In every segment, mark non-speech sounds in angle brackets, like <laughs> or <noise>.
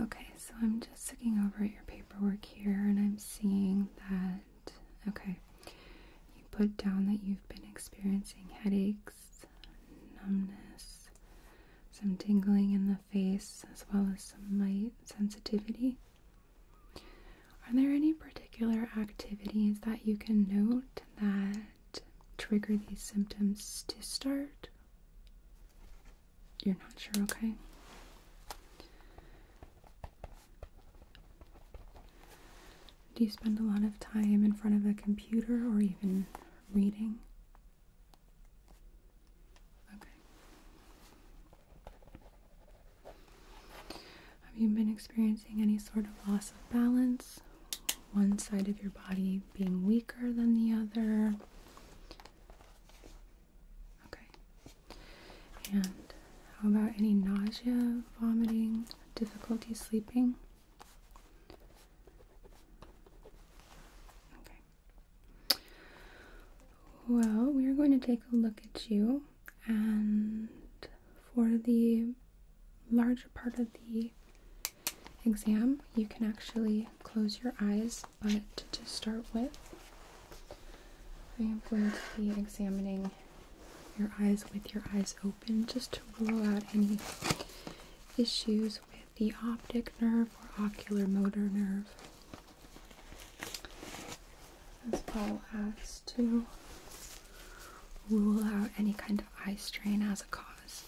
Okay, so I'm just looking over at your paperwork here and I'm seeing that, okay, you put down that you've been experiencing headaches, numbness, some tingling in the face, as well as some light sensitivity. Are there any particular activities that you can note that trigger these symptoms to start? You're not sure, okay? Do you spend a lot of time in front of a computer or even reading? Okay. Have you been experiencing any sort of loss of balance? One side of your body being weaker than the other? Okay. And how about any nausea, vomiting, difficulty sleeping? Okay. Well, we are going to take a look at you, and for the larger part of the exam, you can actually close your eyes. But to start with, I am going to be examining your eyes with your eyes open just to rule out any issues with the optic nerve or ocular motor nerve as well as to rule out any kind of eye strain as a cause.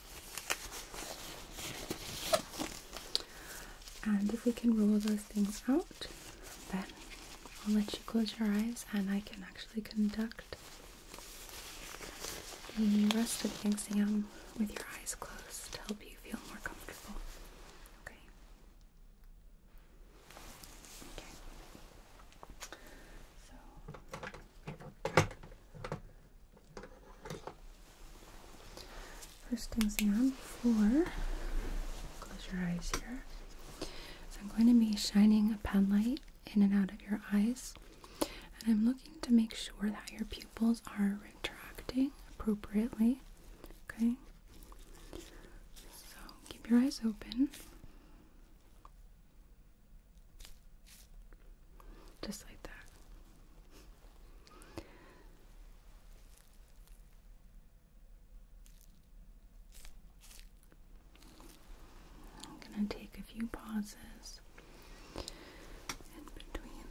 And if we can rule those things out, then I'll let you close your eyes and I can actually conduct the rest of the exam with your eyes closed to help you feel more comfortable. Okay. Okay. So first exam for close your eyes here. I'm going to be shining a pen light in and out of your eyes. And I'm looking to make sure that your pupils are retracting appropriately. Okay. So keep your eyes open. Just like that. I'm going to take a few pauses in between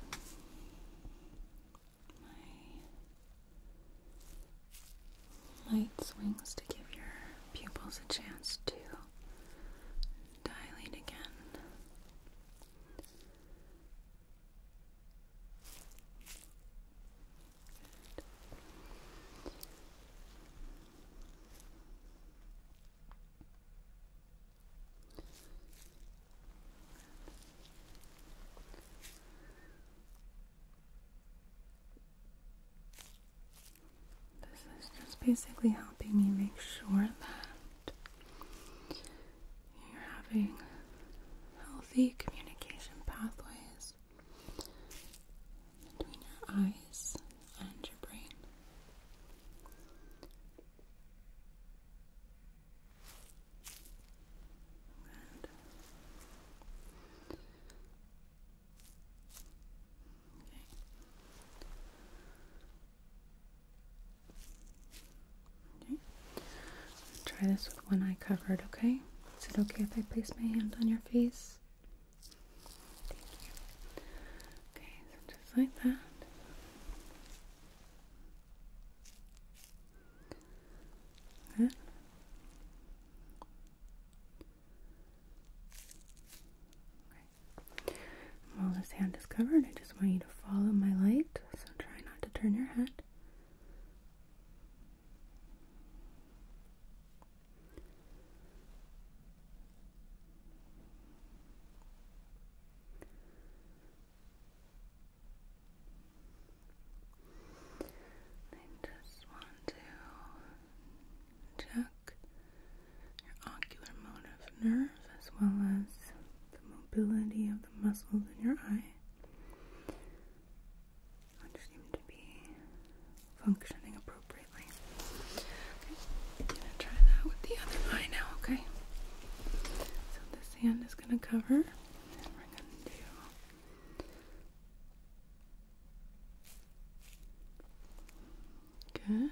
my light swings to give your pupils a chance to dilate again. This is just basically helping me make sure that you're having healthy communication pathways between your eyes and your brain. Okay. Okay. Try this with one eye covered, okay? Is it okay if I place my hand on your face? Okay, so just like that. Okay. While this hand is covered, I just want you to follow my light, so try not to turn your head. I just want to check your ocular motor nerve as well as the mobility of the muscles in your eye, which seem to be functioning appropriately. I'm going to try that with the other eye now, okay? So this hand is going to cover, and we're going to do Good.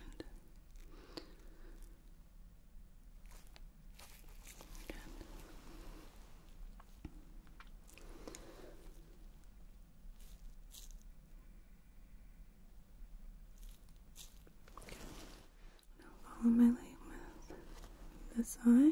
follow my light with this eye.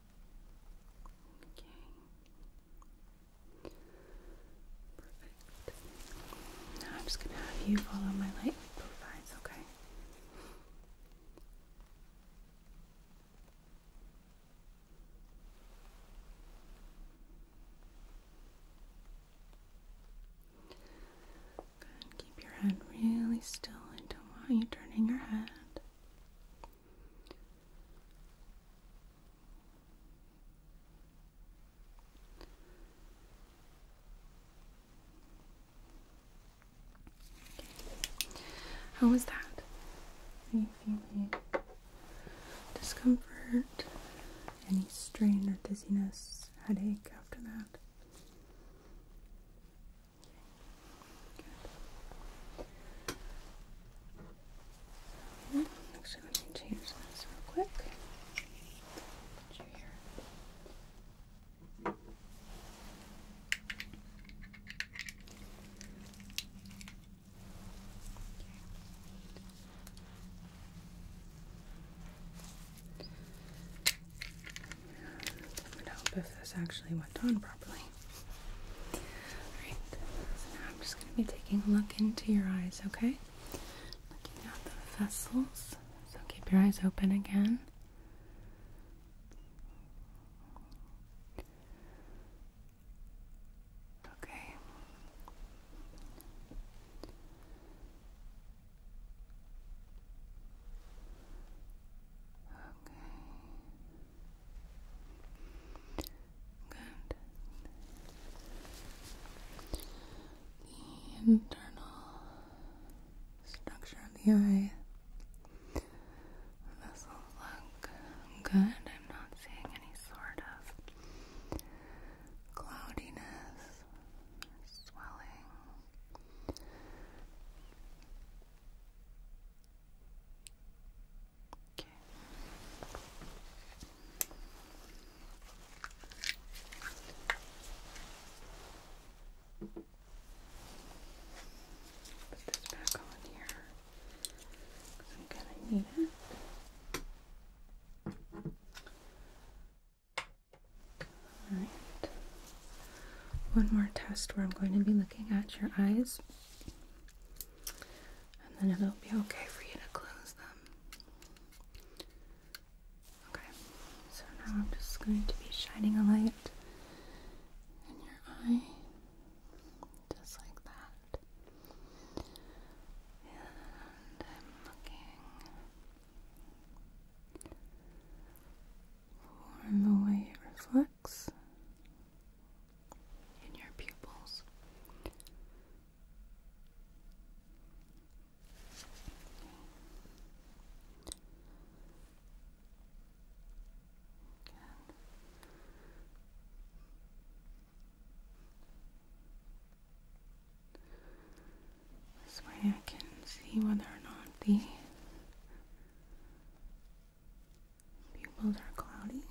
Okay. Perfect. Now I'm just going to have you follow my light with both eyes, okay? Good. Keep your head really still. I don't want you turning your head. How was that? Are feeling discomfort? Any strain or dizziness, headache after that? Okay. Actually, let me change this real quick. Put you here. Okay. It would if this actually went on properly. Alright, so now I'm just going to be taking a look into your eyes, okay? Looking at the vessels. So keep your eyes open again. Okay. Okay. The internal structure of the eye vessels look good. I'm not seeing any sort of cloudiness swelling. Put this back on here I'm gonna need it. Alright. One more test where I'm going to be looking at your eyes and then it'll be okay for you to close them. Okay, so now I'm just going to be shining a light in your eye, just like that. And I'm looking for the way it reflects in your pupils. This way I can see whether or not the Pupils are cloudy.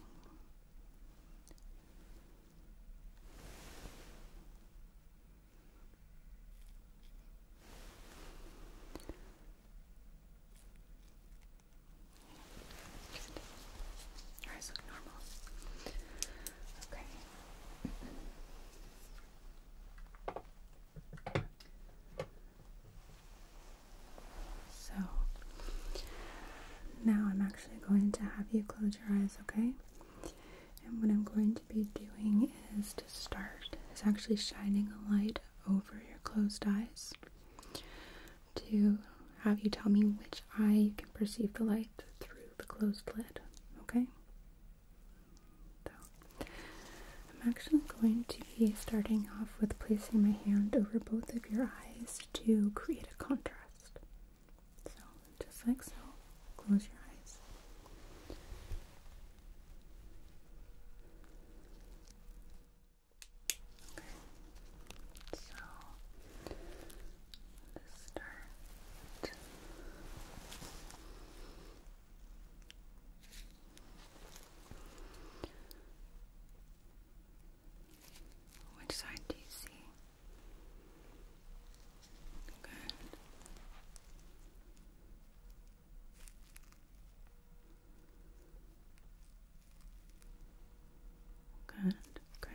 eyes look normal. Okay. So now I'm actually going to have you close your eyes, okay? And what I'm going to be doing is to start is actually shining a light over your closed eyes to have you tell me which eye you can perceive the light through the closed lid, okay? So I'm actually going to be starting off with placing my hand over both of your eyes to create a contrast. So, just like so, close your eyes. So, let's start. Which side do you see? Good. Good. Okay.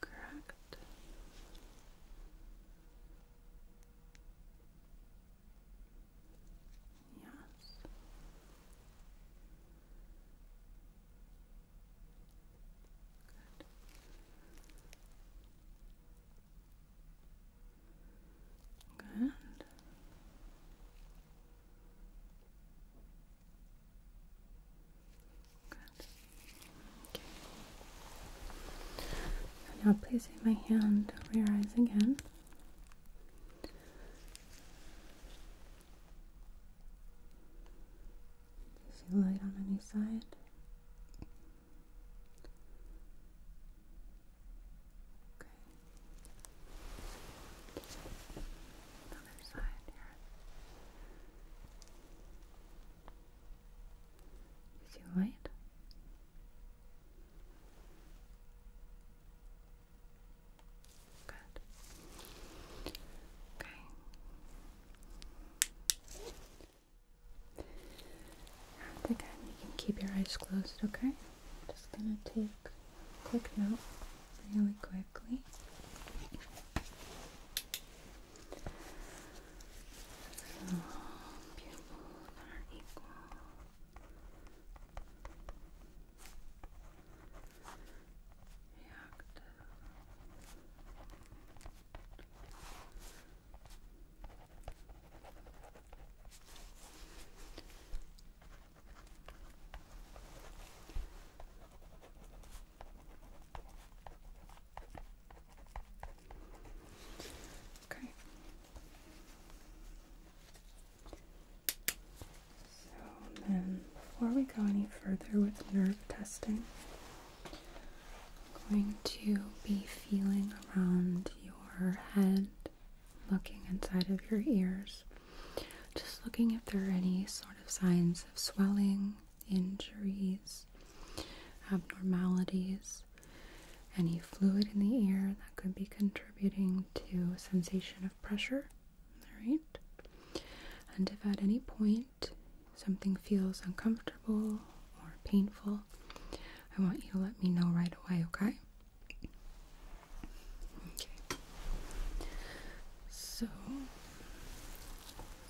Correct. Yes. Good. Good. Good now placing my hand over your eyes again. Do you see light on any side? Okay. Another side is it Good. Okay. again, you can keep your eyes closed, okay? just gonna take a quick note really quickly. So pupils are equal. Reactive. Okay. So then, before we go any further with nerve testing, I'm going to be feeling around your head, looking inside of your ears, just looking if there are any sort of signs of swelling injuries, abnormalities, any fluid in the ear that could be contributing to sensation of pressure. All right. And if at any point something feels uncomfortable or painful, I want you to let me know right away, okay? Okay. So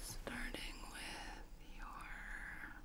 starting with your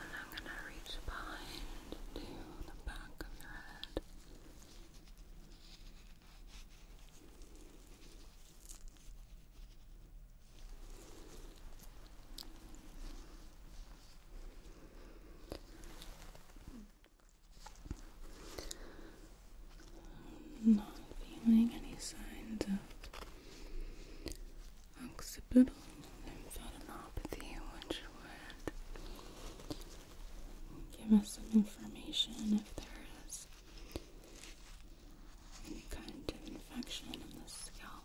And I'm going to reach behind to the back of your head not feeling any signs of occipital lymphadenopathy, which would give us some information if there is any kind of infection in the scalp.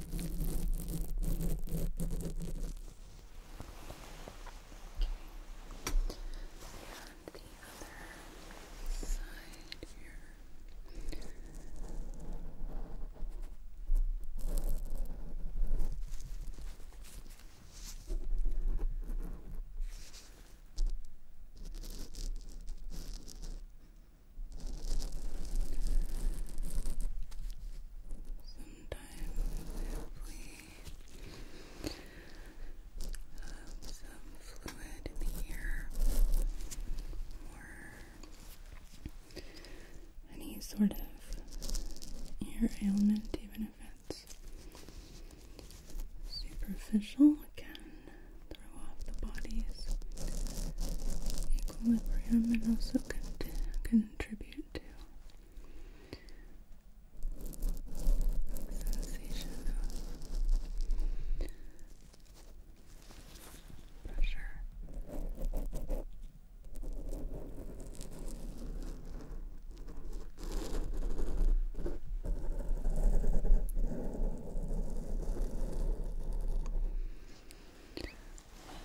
other side here. Okay. Sometimes we have some fluid in the ear or any sort of ear ailment, even if it's superficial, can throw off the body's equilibrium and also can contribute to sensation of pressure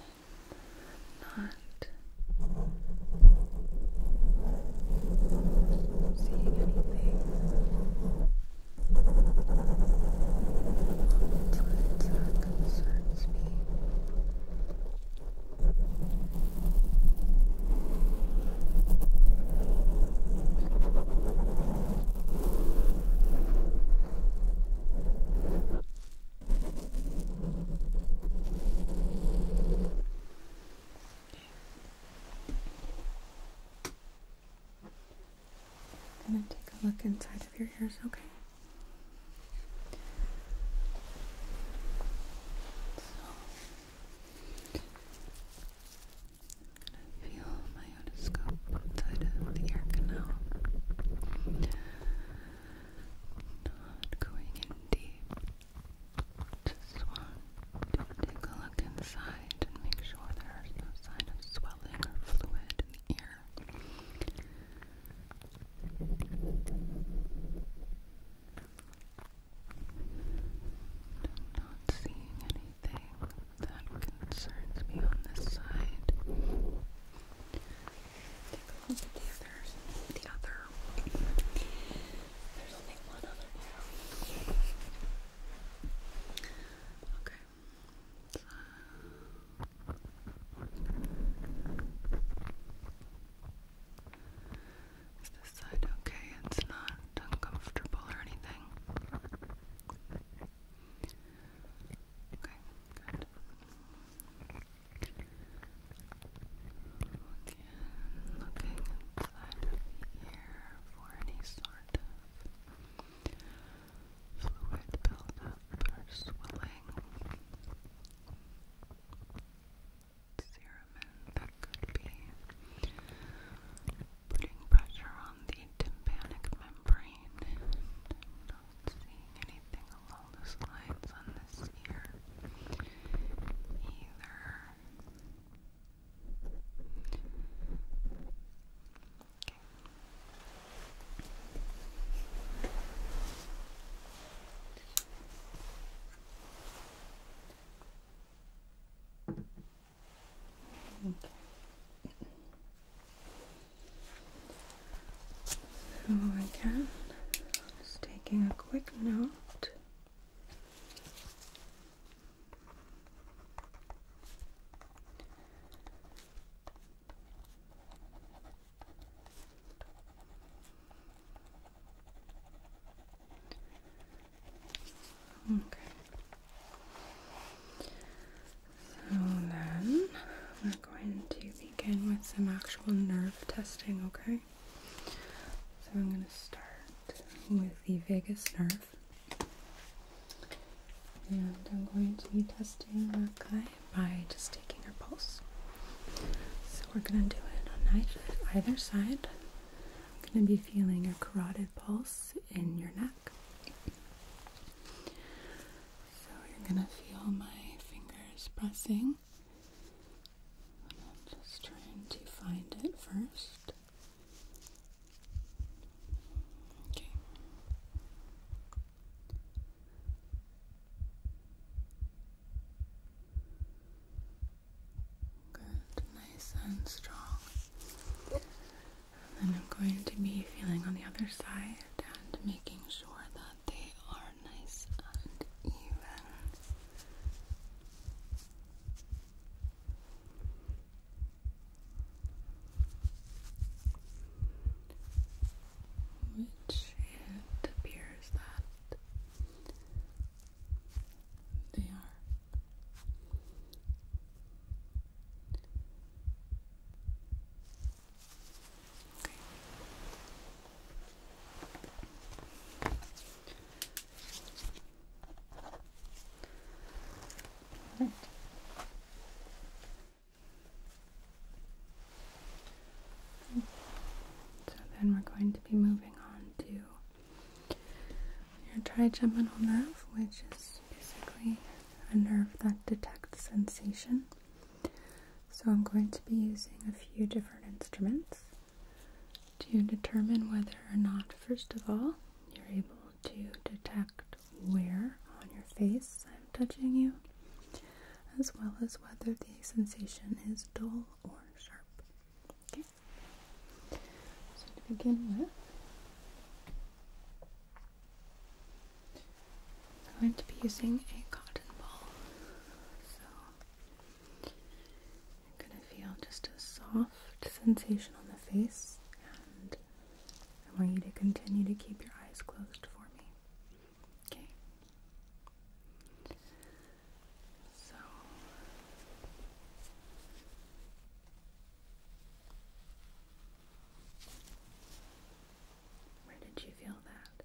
not seeing anything. It's not concerns me. I'm going to take a look inside of your ears, okay? So, going to feel my otoscope outside of the ear canal. Not going in deep. Just want to take a look inside and make sure there is no sign of swelling or fluid in the ear. I'm not seeing anything that concerns me on this side the others. The other. There's only one other now. Okay. Is this side okay? It's not uncomfortable or anything. Okay. Good. Again, looking inside the ear for any sort of fluid buildup or swelling, serum that could be putting pressure on the tympanic membrane uh, seeing anything along the slides on this ear either. Okay. <laughs> So again, just taking a quick note. Okay. So then we're going to begin with some actual nerve testing, okay? So I'm going to start with the vagus nerve. And I'm going to be testing that guy by just taking your pulse. So we're going to do it on either side. I'm going to be feeling your carotid pulse in your neck. So you're gonna feel my fingers pressing. I'm just trying to find it first. Okay. Good, nice and strong. And then I'm going to be feeling on the other side and making sure that they are nice and even. Which it appears that they are. So then we're going to be moving on to your trigeminal nerve, which is basically a nerve that detects sensation. So I'm going to be using a few different instruments to determine whether or not, first of all, you're able to detect where on your face I'm touching you, as well as whether the sensation is dull or sharp. Okay? So to begin with, I'm going to be using a cotton ball, so I'm going to feel just a soft sensation on the face, and I want you to continue to keep your eyes closed for me. Okay? So. Where did you feel that?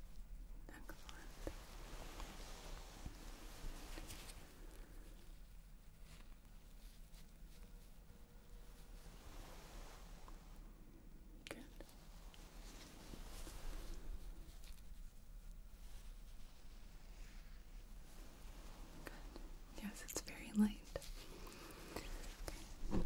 Excellent. Good. Yes, it's very light. Alright.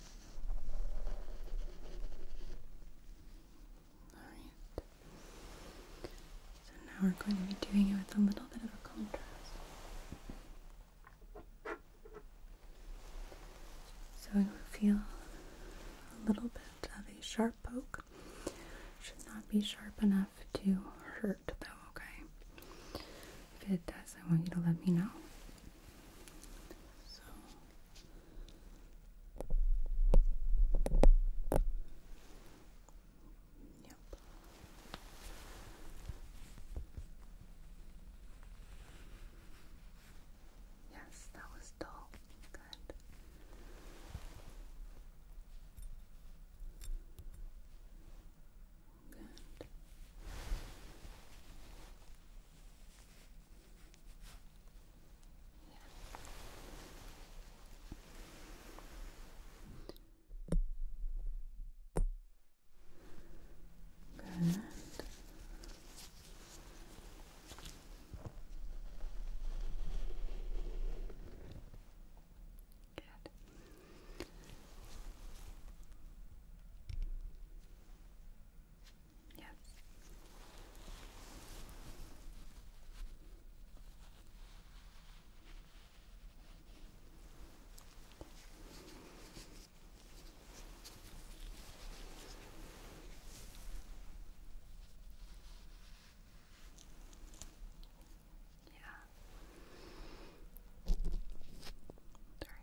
So now we're going to be doing it with a little bit of a contrast. So you'll feel a little bit of a sharp poke. Should not be sharp enough to hurt though, okay? If it does, I want you to let me know. Yep. Yes, that was dull. Good. Good. Yeah. Good. Good. Yes. Yeah. Sorry.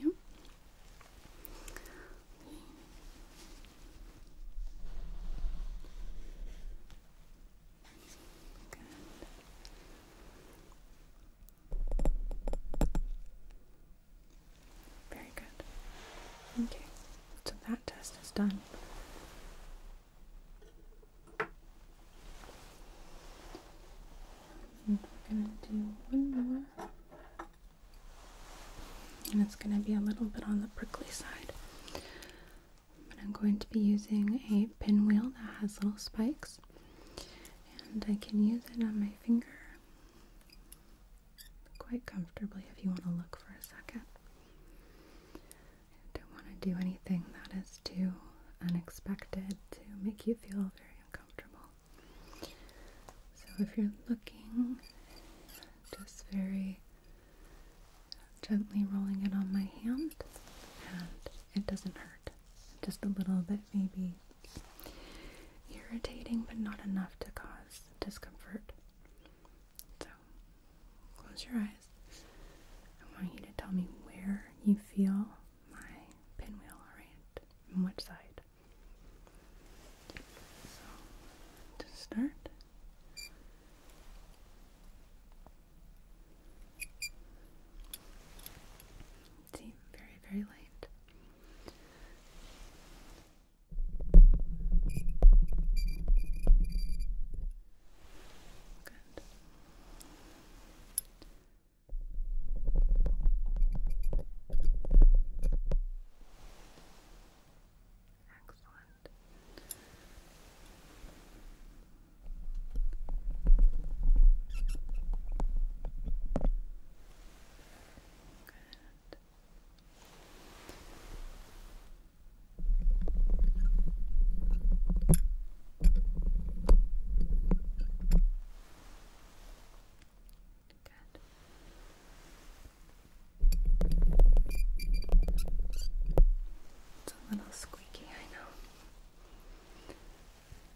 Yep. Good. Very good. Okay, so that test is done. we're going to do one more. And it's going to be a little bit on the prickly side. But I'm going to be using a pinwheel that has little spikes and I can use it on my finger quite comfortably if you want to look for a second. I don't want to do anything that is too unexpected to make you feel very uncomfortable. So if you're looking, just very gently rolling it on my hand and it doesn't hurt. Just a little bit Maybe irritating but not enough to cause discomfort. So close your eyes. I want you to tell me where you feel my pinwheel, alright? And which side. So to start. See, very, very light. Good. Excellent. Good. Good. It's a little squeaky, I know.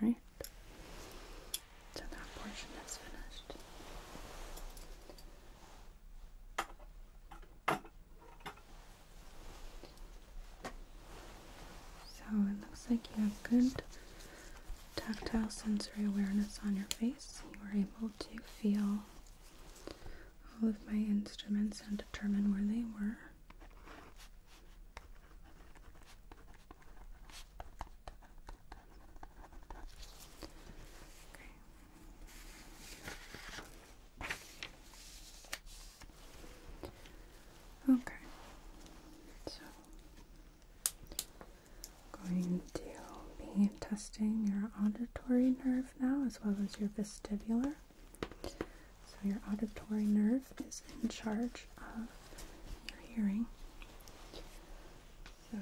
All right. So that portion is finished. So it looks like you have good tactile sensory awareness on your face. You are able to feel all of my instruments and determine where they were. Okay, so going to be testing your auditory nerve now as well as your vestibular. So, your auditory nerve is in charge of your hearing. So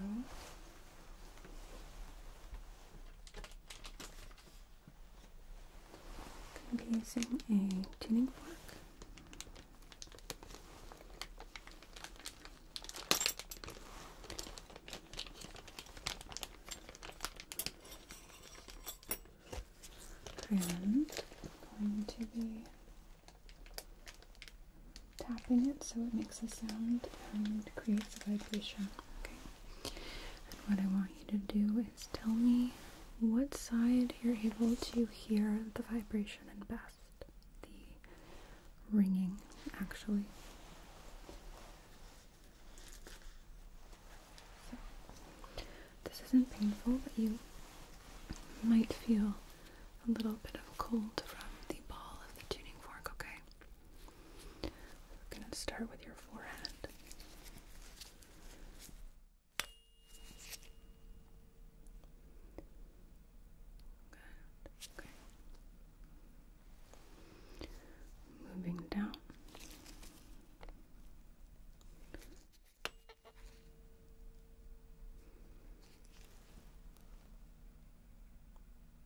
I'm using a tuning fork. And I'm going to be tapping it so it makes a sound and creates a vibration. Okay. And what I want you to do is tell me what side you're able to hear the vibration and best. The ringing, actually. this isn't painful, but you might feel a little bit of cold from the ball of the tuning fork, okay? We're going to start with your forehead. Good. Okay. Moving down.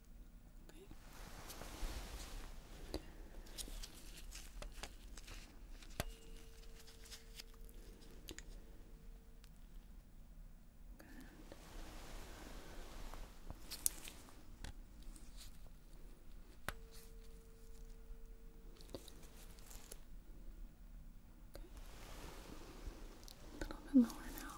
Okay. Good. A little bit lower now.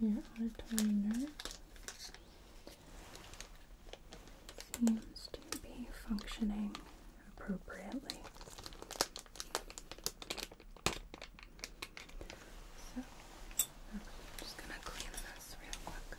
your auditory nerve seems to be functioning appropriately. So, I'm just going to clean this real quick.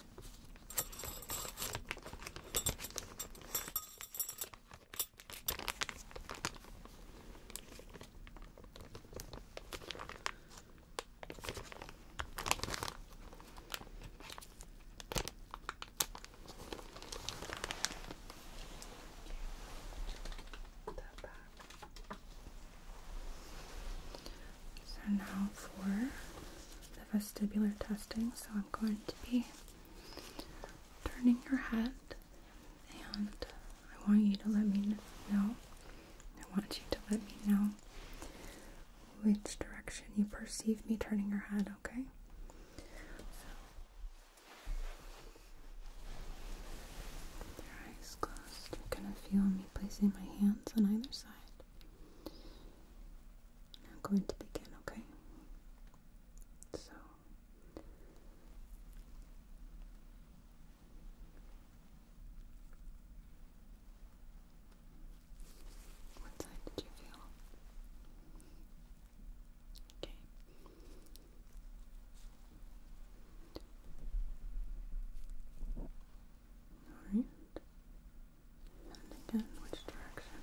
Put that So now for the vestibular testing. So I'm going to be turning your head and I want you to let me know. I want you to let me know which direction you perceive me turning your head, okay? So your eyes closed, you're gonna feel me placing my hands on either side. I'm going to begin, okay? So what side did you feel? Okay. All right again, which direction?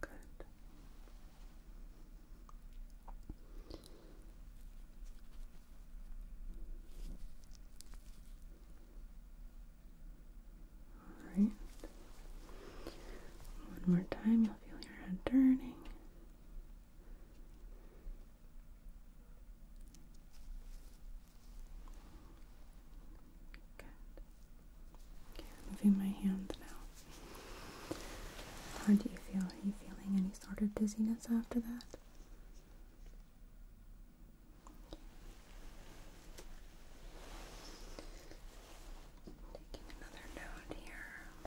Good. Alright. One more time, you'll feel your head turning. Good. Okay, moving my hand now. How do you feel? Are you feeling any sort of dizziness after that? Taking another note here.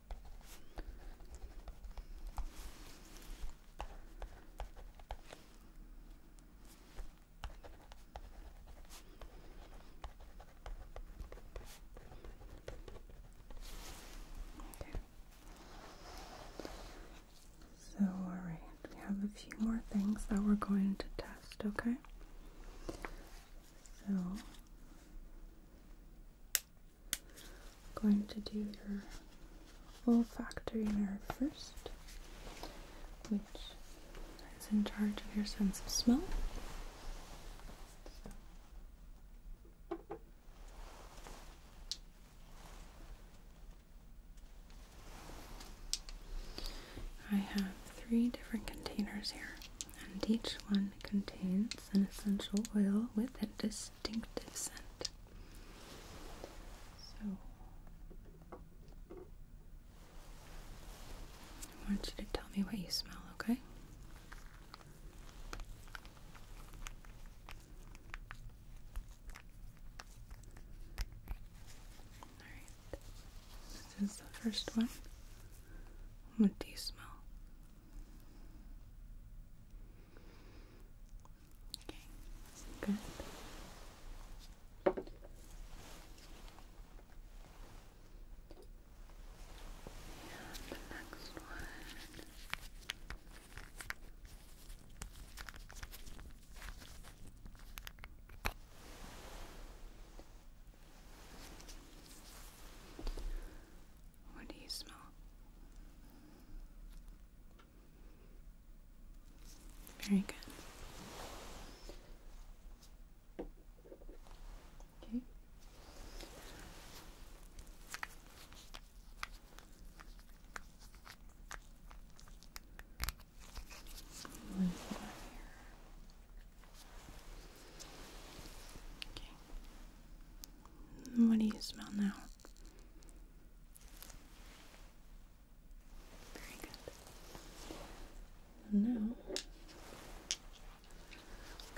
So, alright, we have a few more things that we're going to test, okay? So, going to do your olfactory nerve first, which is in charge of your sense of smell. I have three different containers here, and each one contains an essential oil with it distinctive scent. So, I want you to tell me what you smell, okay? Alright, this is the first one. What do you smell? Okay, good. And next one. What do you smell? Very good. Okay. One here. Okay. What do you smell now? Very good. And now I'm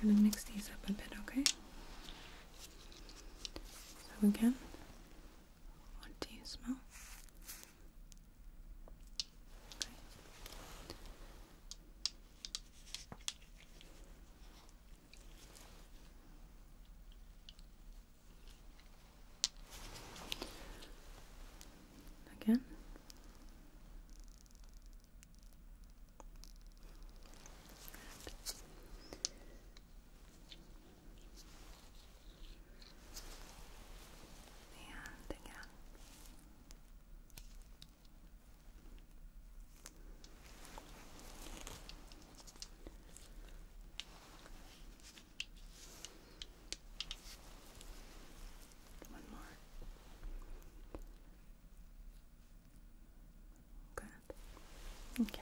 going to mix these up a bit, okay? So again, what do you smell? Again. Good. And again. One more. Good. Okay.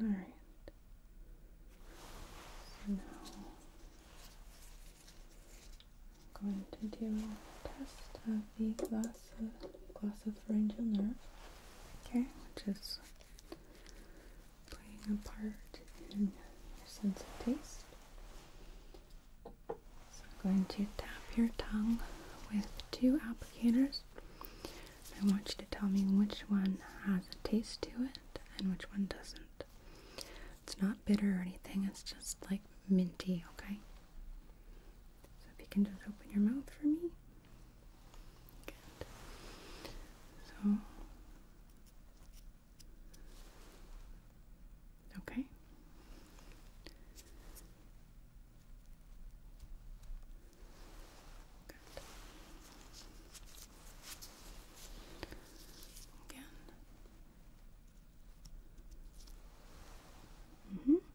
All right. So now I'm going to do a test of the gloves glass, uh, glossopharyngeal nerve. Okay, which is playing a part in your sense of taste. So I'm going to tap your tongue with two applicators. I want you to tell me which one has a taste to it and which one doesn't. It's not bitter or anything, it's just like minty, okay? So if you can just open your mouth for me. Good. So okay. Good. Again. Mm -hmm.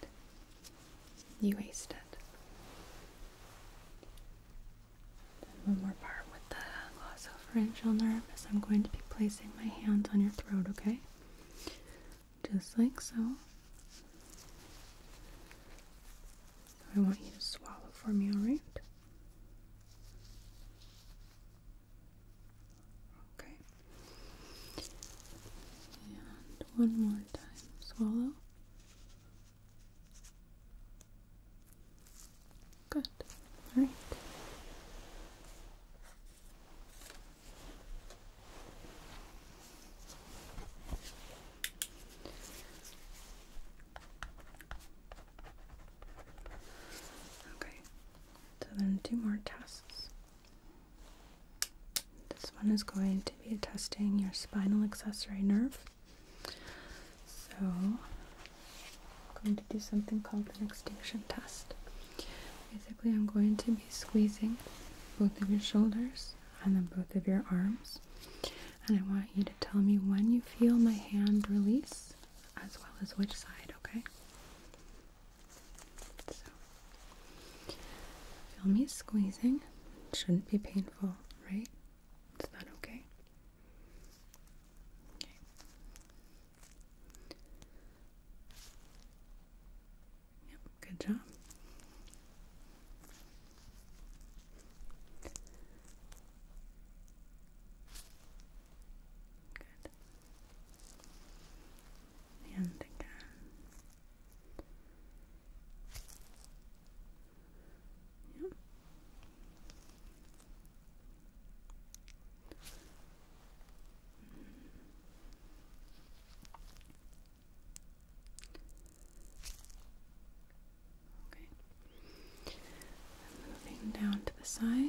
Good. You wasted. Then one more part with the glossopharyngeal nerve is I'm going to be placing my hands on your throat, okay? Just like so. I want you to swallow for me, alright? Okay. And one more time. Swallow. Good. All right. Okay. So then two more tests. This one is going to be testing your spinal accessory nerve. So, I'm going to do something called an extinction test. Basically, I'm going to be squeezing both of your shoulders and then both of your arms. And I want you to tell me when you feel my hand release as well as which side, okay? feel me squeezing. shouldn't be painful, right? It's not okay. Okay. Yep, good job. Good. And again. Yeah. Okay. moving down to the side.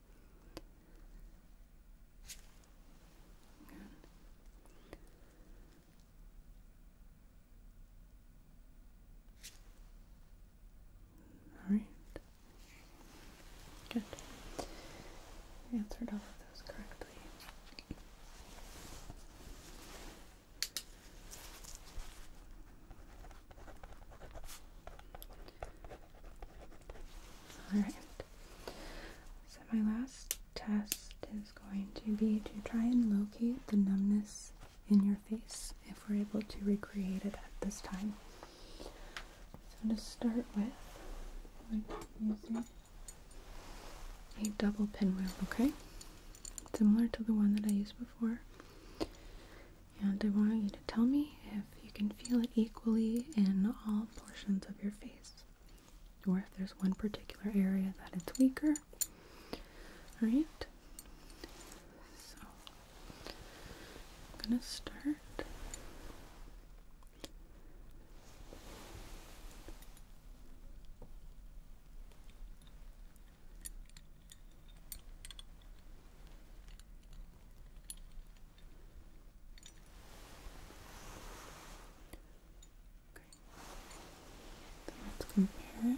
All right. Good. answered all of those correctly. Alright. So, my last test is going to be to try and locate the numbness in your face if we're able to recreate it at this time. So, to start with using a double pinwheel, okay? Similar to the one that I used before. And I want you to tell me if you can feel it equally in all portions of your face, or if there's one particular area that it's weaker. All right. So I'm gonna start. Okay. Let's compare it. Okay.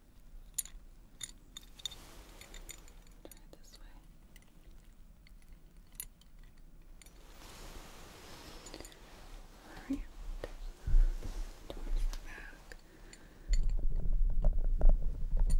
Try it this way. Alright. Towards the back. Okay.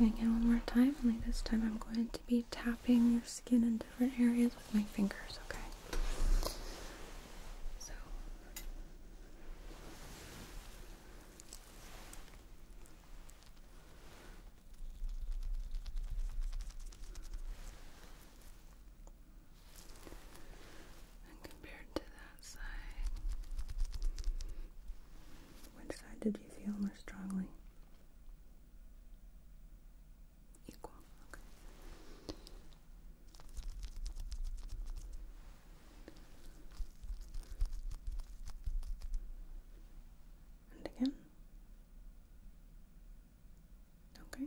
Okay. I'm going to get one more time, only this time I'm going to be tapping your skin in different areas with my fingers, okay? and compared to that side, which side did you feel more strongly? equal. And again. Okay.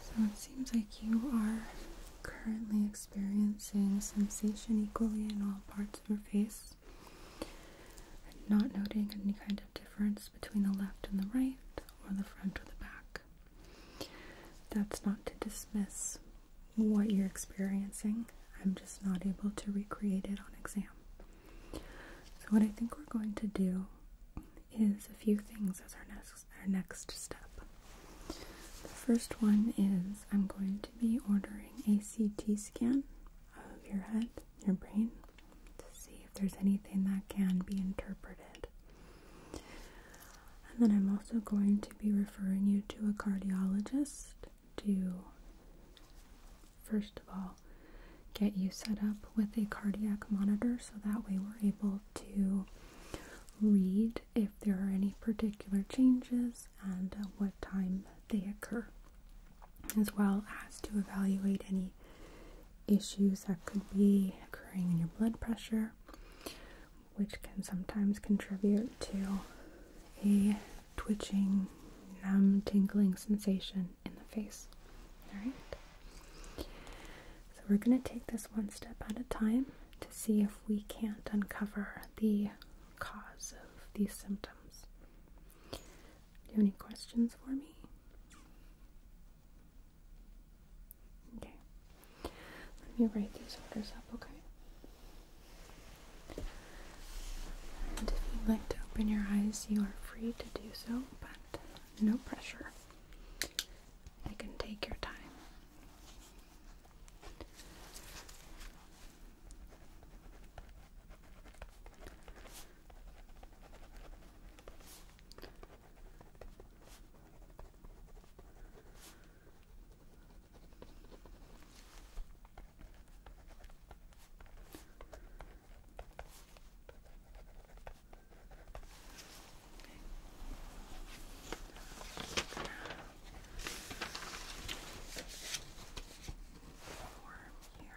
So it seems like you are currently experiencing sensation equally in all parts of your face. i not noting any kind of difference between the left and the right or the front or the back. That's not to dismiss what you're experiencing. I'm just not able to recreate it on exam. So what I think we're going to do is a few things as our next, our next step. The first one is I'm going to be ordering a CT scan of your head, your brain, to see if there's anything that can be interpreted. And then I'm also going to be referring you to a cardiologist to, first of all, get you set up with a cardiac monitor so that way we're able to read if there are any particular changes and uh, what time they occur, as well as to evaluate any issues that could be occurring in your blood pressure, which can sometimes contribute to a twitching, numb, tingling sensation in the face. Alright? So we're going to take this one step at a time to see if we can't uncover the cause of these symptoms. Do you have any questions for me? Okay. Let me write these orders up, okay? And if you'd like to open your eyes, you are free to do so, but no pressure. I can take your time. Okay. Form here.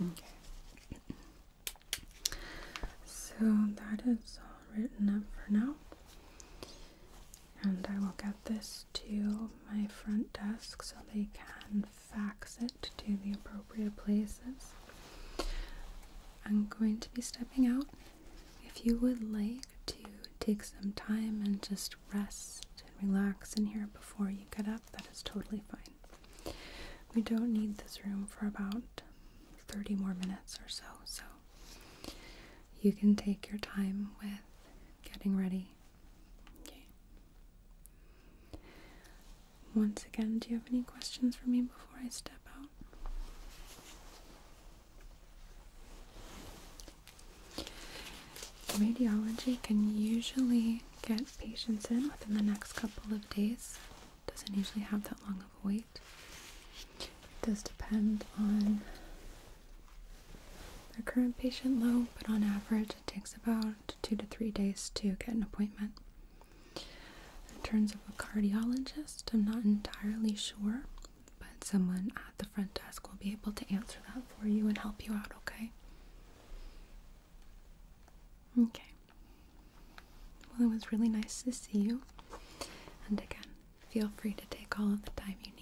Okay. So that is all written up for now. And I will get this to my front desk so they can fax it to the appropriate places. I'm going to be stepping out. If you would like, to take some time and just rest and relax in here before you get up, that is totally fine. We don't need this room for about 30 more minutes or so, so you can take your time with getting ready. Okay. Once again, do you have any questions for me before I step out? Radiology can usually get patients in within the next couple of days. Doesn't usually have that long of a wait. It does depend on the current patient load, but on average it takes about two to three days to get an appointment. In terms of a cardiologist, I'm not entirely sure but someone at the front desk will be able to answer that for you and help you out, okay? Okay. Well, it was really nice to see you. And again, feel free to take all of the time you need.